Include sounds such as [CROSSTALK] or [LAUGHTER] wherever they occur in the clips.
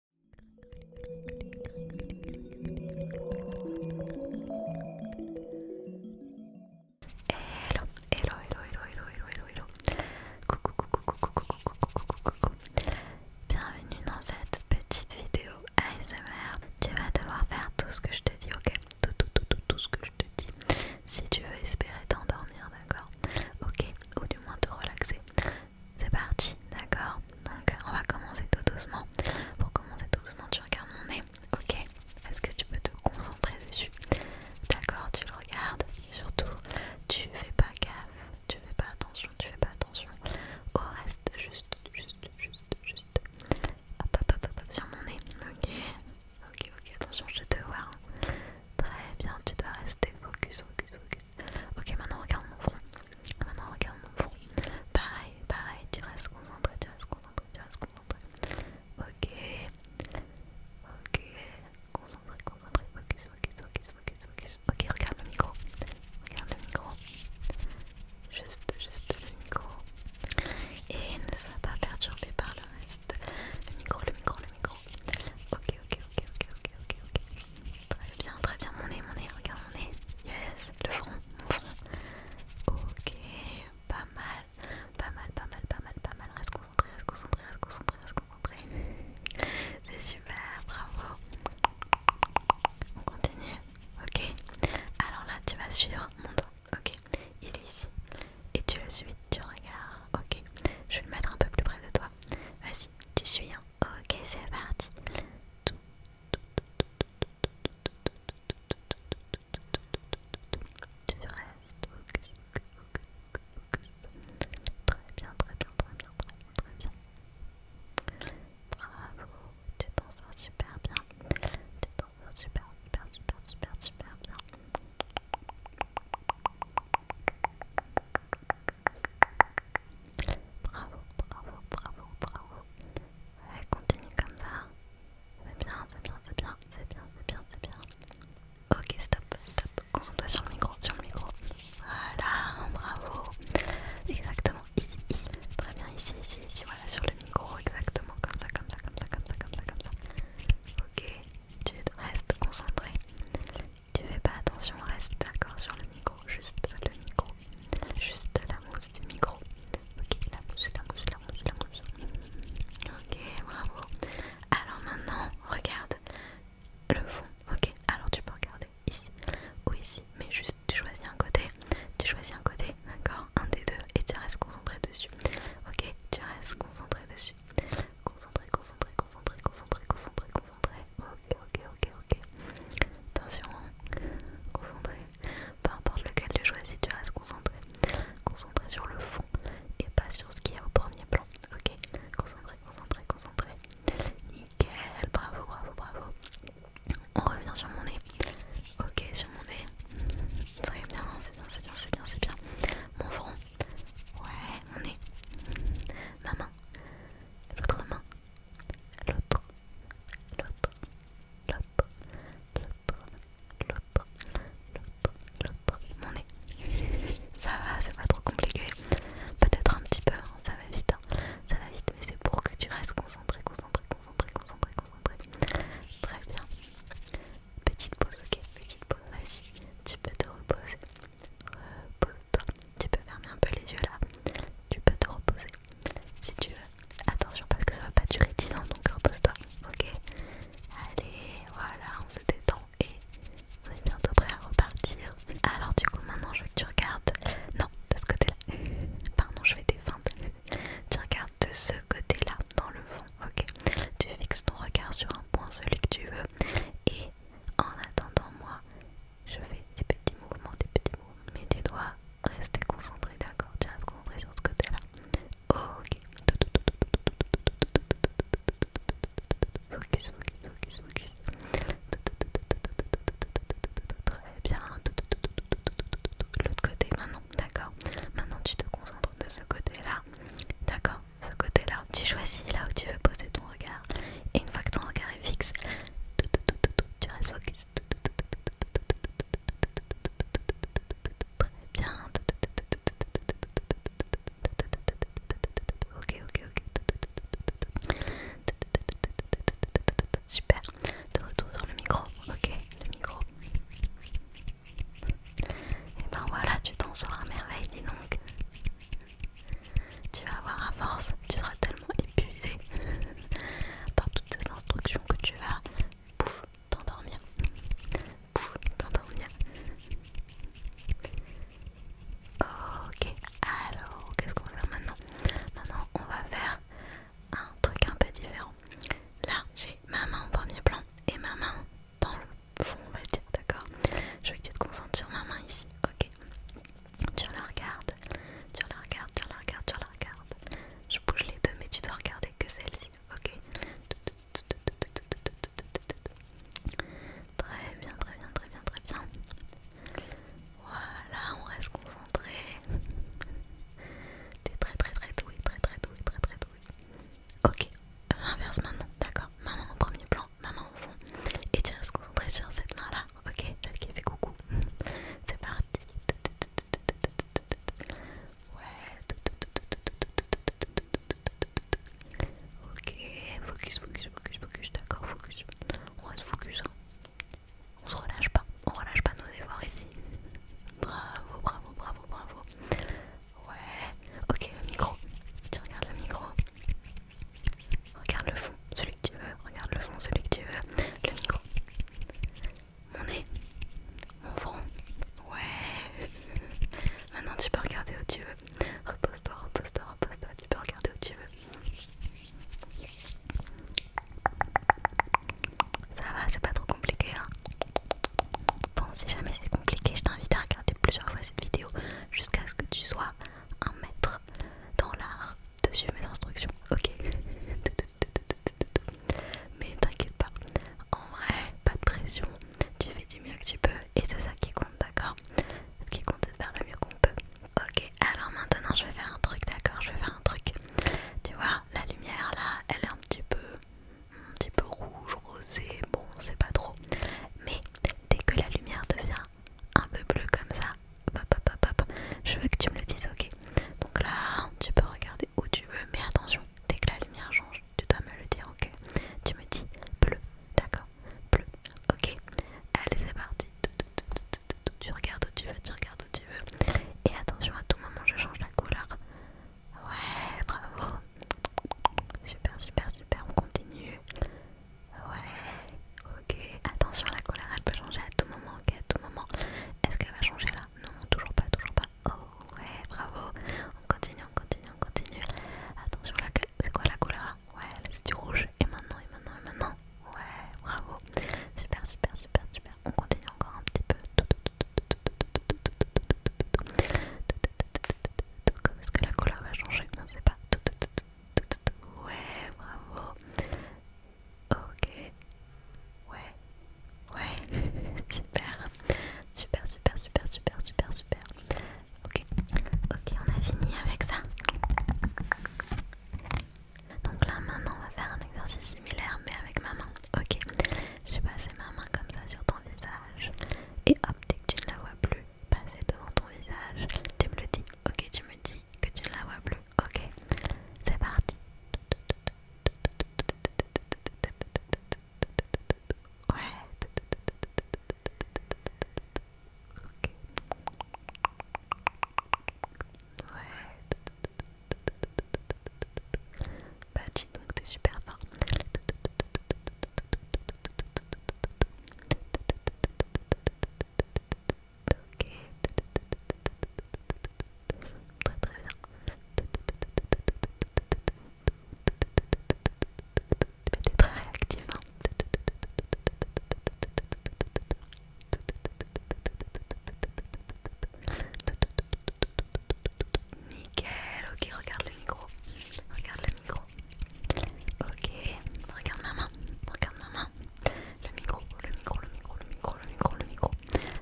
Hello, hello, hello, hello, hello, hello, hello, Coucou, coucou, coucou, coucou, coucou, coucou, coucou. Bienvenue dans cette petite vidéo ASMR. Tu vas devoir faire tout ce que je te dis, ok Tout, tout, tout, tout, tout ce que je te dis. Si tu veux espérer t'endormir, d'accord Ok Ou du moins te relaxer. C'est parti, d'accord Donc on va commencer tout doucement. Pour commencer tout doucement, tu regardes mon nez, ok Est-ce que tu peux te concentrer dessus D'accord, tu le regardes. Et surtout, tu fais pas gaffe, tu fais pas attention, tu fais pas attention. Au reste, juste, juste, juste, juste. Hop, hop, hop, hop, sur mon nez, ok Ok, ok, attention, je te vois. Hein. Très bien, tu dois rester focus, focus, focus. Ok, maintenant regarde mon front. Maintenant regarde mon front. Pareil, pareil, tu restes concentré, tu restes concentré, tu restes concentré. Ok. Ok. Concentré, concentré. Focus, focus, focus, Ok, regarde le micro. Regarde le micro. Juste, juste le micro. Et ne sois pas perturbé par le reste. Le micro, le micro, le micro. Ok, ok, ok, ok, ok, ok, ok. Très bien, très bien, mon nez, mon nez, regarde mon nez. Yes, le front, mon front. Ok, pas mal, pas mal, pas mal, pas mal, pas mal. Reste concentré, reste concentré, reste concentré, reste concentré. C'est super, bravo. On continue, ok. Alors là, tu vas suivre mon dos, ok. Il est ici. Et tu le suis tu regardes. Ok, je vais le mettre un peu plus près de toi. Vas-y, tu suis. Hein. Ok, c'est parti. Tu restes. Très bien, très bien, très bien, très bien, très bien. Bravo, tu t'en sors super bien. Tu t'en sors super, super, super, super, super bien. Bravo, bravo, bravo, bravo. continue comme ça. C'est bien, c'est bien, c'est bien, c'est bien, c'est bien, Ok, stop, stop. Concentre-toi sur le micro, sur le micro. Voilà, bravo. Exactement, ici, ici. Très bien, ici, ici, ici. Voilà, sur le micro, exactement. Comme ça, comme ça, comme ça, comme ça, comme ça, comme ça. Ok, tu restes concentré. Tu fais pas attention, reste d'accord sur le micro, juste le micro, juste la mousse du micro. Ok, la mousse, la mousse, la mousse, la mousse. Ok, bravo. Alors maintenant, regarde le fond. Ok, alors tu peux regarder ici ou ici, mais juste tu choisis un côté, tu choisis un côté, d'accord, un des deux, et tu restes concentré dessus. Ok, tu restes concentré dessus. Concentré, concentré, concentré, concentré, concentré, concentré. Ok, ok, ok, ok. Attention, hein. concentré. Peu importe lequel tu choisis, tu restes concentré. Concentré sur le fond et pas sur ce qu'il y a au premier plan. Ok, concentré, concentré, concentré. Nickel, bravo, bravo, bravo. On revient sur mon nez. Ok, sur mon nez. Ça va bien, hein, c'est bien, c'est bien, c'est bien, Mon front, ouais, mon nez, ma main, l'autre main, l'autre, l'autre, l'autre, l'autre, l'autre, l'autre, L'autre. mon nez. Ça va, c'est pas trop compliqué. Peut-être un petit peu, hein, ça va vite, hein. ça va vite, mais c'est pour que tu restes concentré, concentré, concentré, concentré, concentré. Très bien. Petite pause, ok Petite pause, vas-y. Tu peux te reposer. Repose-toi. Tu peux fermer un peu les yeux là. Tu peux te reposer. Si tu veux. Attention parce que ça va pas durer 10 ans, donc repose-toi. Ok Allez, voilà, on se détend et on est bientôt prêt à repartir. Alors du coup maintenant je veux que tu regardes. Non, de ce côté-là. [LAUGHS] Pardon, je fais des feintes. [LAUGHS] Tu regardes de ce côté-là, dans le fond, ok Tu fixes ton regard sur un point, celui que tu veux, et en attendant moi, je fais des petits mouvements, des petits mouvements, mais tu dois rester concentré, d'accord Tu restes concentré sur ce côté-là. Ok. Focus, focus, focus, focus bien. L'autre côté maintenant, d'accord. Maintenant tu te concentres de ce côté-là. D'accord, ce côté-là. Tu choisis là où tu veux poser ton regard. Et une fois que ton regard est fixe, tu restes focus. Très bien. Ok, ok, ok. Super. De retour sur le micro. Ok, le micro. Et ben voilà, tu t'en sors à merveille, dis donc. Tu vas avoir à force, tu seras tellement épuisé [LAUGHS] par toutes ces instructions que tu vas pouf t'endormir. Pouf t'endormir. Ok, alors qu'est-ce qu'on va faire maintenant Maintenant on va faire un truc un peu différent. Là, j'ai ma main au premier plan et ma main dans le fond, on va dire, d'accord Je veux que tu te concentres sur ma main ici, ok Tu la regardes, tu la regardes, tu la regardes, tu la regardes. Je bouge les deux, mais tu dois regarder que celle-ci, ok Très bien, très bien, très bien, très bien. Voilà, on reste concentré. T'es très très très doué, très très doué, très très doué. Ok, inverse maintenant, d'accord Maman en premier plan, maman au fond. Et tu restes concentré sur cette main-là, ok Celle qui fait coucou. C'est parti. Ouais. Ok, focus, focus, focus, focus, d'accord, focus. On reste focus, hein. On se relâche pas, on relâche pas nos efforts ici. Bravo, bravo, bravo, bravo. Ouais, ok, le micro. Tu regardes le micro. Regarde le fond, celui que tu veux. Regarde le fond, celui que tu veux. Le micro. Mon nez. Mon front. Ouais. Maintenant tu peux regarder où tu veux. Repose-toi, repose-toi, pose toi tu peux regarder où tu veux. Ça va, c'est pas trop compliqué. Hein bon, si jamais c'est compliqué, je t'invite à regarder plusieurs fois cette vidéo jusqu'à ce que tu sois un maître dans l'art de suivre mes instructions. Ok Mais t'inquiète pas, en vrai, pas de pression. Tu fais du mieux que tu peux et c'est ça qui compte, d'accord Ce qui compte, c'est de faire le mieux qu'on peut. Ok, alors maintenant je vais faire un truc, d'accord Je vais faire un truc. Tu vois, la lumière là, elle est un petit peu, rouge, rosé, bon, c'est pas trop. Mais dès que la lumière devient un peu bleue comme ça, hop, hop, hop, hop, je veux que tu me le dises, ok Donc là, tu peux regarder où tu veux, mais attention, dès que la lumière change, tu dois me le dire, ok Tu me dis bleu, d'accord bleu. Ok, allez, c'est parti. Tu regardes où tu veux, tu regardes où tu veux. Et attention, à tout moment, je change la couleur. Ouais, bravo. Super, super, super. On continue. Ouais, ok. Attention, la couleur, elle peut changer à tout moment. Ok, à tout moment. Est-ce qu'elle va changer là Non, toujours pas, toujours pas. Oh, ouais, bravo. On continue, on continue, on continue. Attention, la... c'est quoi la couleur Ouais, c'est du rouge. Et maintenant, et maintenant, et maintenant. Ouais, bravo. Super, super, super, super. On continue encore un petit peu. Comment est-ce que la couleur va changer tout ne tout pas. Ouais, bravo. Ok. Ouais. Ouais. [LAUGHS] super. Super, super, super, super, super, super. Ok, ok, on a fini avec ça. Donc là maintenant on va faire un exercice similaire mais avec ma main. Ok, j'ai passé ma main comme ça sur ton visage et hop, dès que tu ne la vois plus, passer devant ton visage, tu me le dis. Ok, tu me dis que tu ne la vois plus. Ok, c'est parti. Ouais. Ouais. Bah donc t'es super fort. Ok. Très très bien. Peut-être très réactif. Nickel, ok, regarde le micro. Regarde le micro. Ok, regarde ma main. Regarde ma main. Le micro, le micro, le micro, le micro, le micro, le micro.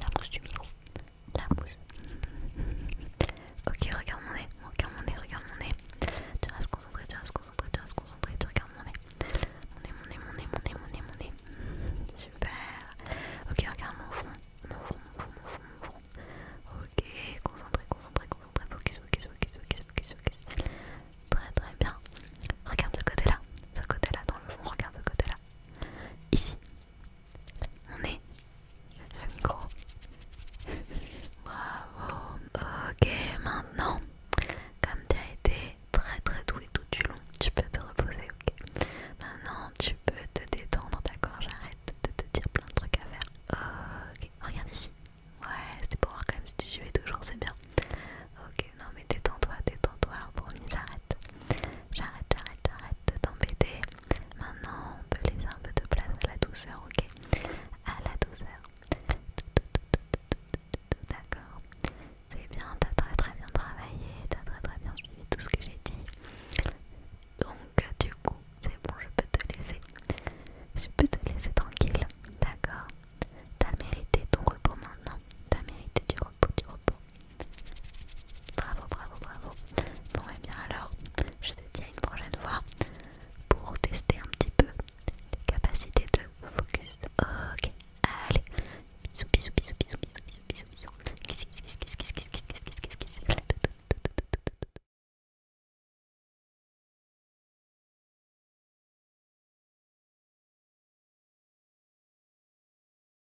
La bouche du micro la ok, regarde mon nez, regarde mon nez, regarde mon nez. Tu vas se concentrer, tu vas se concentrer, tu vas se concentrer, tu regardes mon nez. Mon nez, mon nez, mon nez, mon nez, mon nez, Super. Ok, regarde mon front, mon front, mon front, mon front, Ok, concentré, concentré, concentré, focus, focus, focus, ok, ok, ok. Très très bien. Regarde ce côté-là, ce côté-là dans le fond, regarde ce côté-là. Ici, on est le micro. Bravo. Ok, maintenant, comme tu as été très très doué tout du long, tu peux te reposer, ok Maintenant, tu peux te détendre, d'accord J'arrête de te dire plein de trucs à faire. Ok, regarde ici. Ouais, c'était pour voir quand même si tu suivais toujours, c'est bien. Ok, non mais détends-toi, détends-toi, j'arrête. J'arrête, j'arrête, j'arrête de t'embêter. Maintenant, on peut laisser un peu de place à la douceur, ok À la douceur. D'accord. C'est bien, t'as très très bien travaillé, t'as très très bien suivi tout ce que j'ai dit. Donc, du coup, c'est bon, je peux te laisser. Je peux te laisser tranquille, d'accord T'as mérité ton repos maintenant. T'as mérité du repos, du repos. Bravo, bravo, bravo. Bon, et eh bien alors, je te dis à une prochaine fois pour tester un petit peu capacité capacités de focus. Ok, allez. Bisous, bisous, bisous, bisous, bisous, bisous, bisous.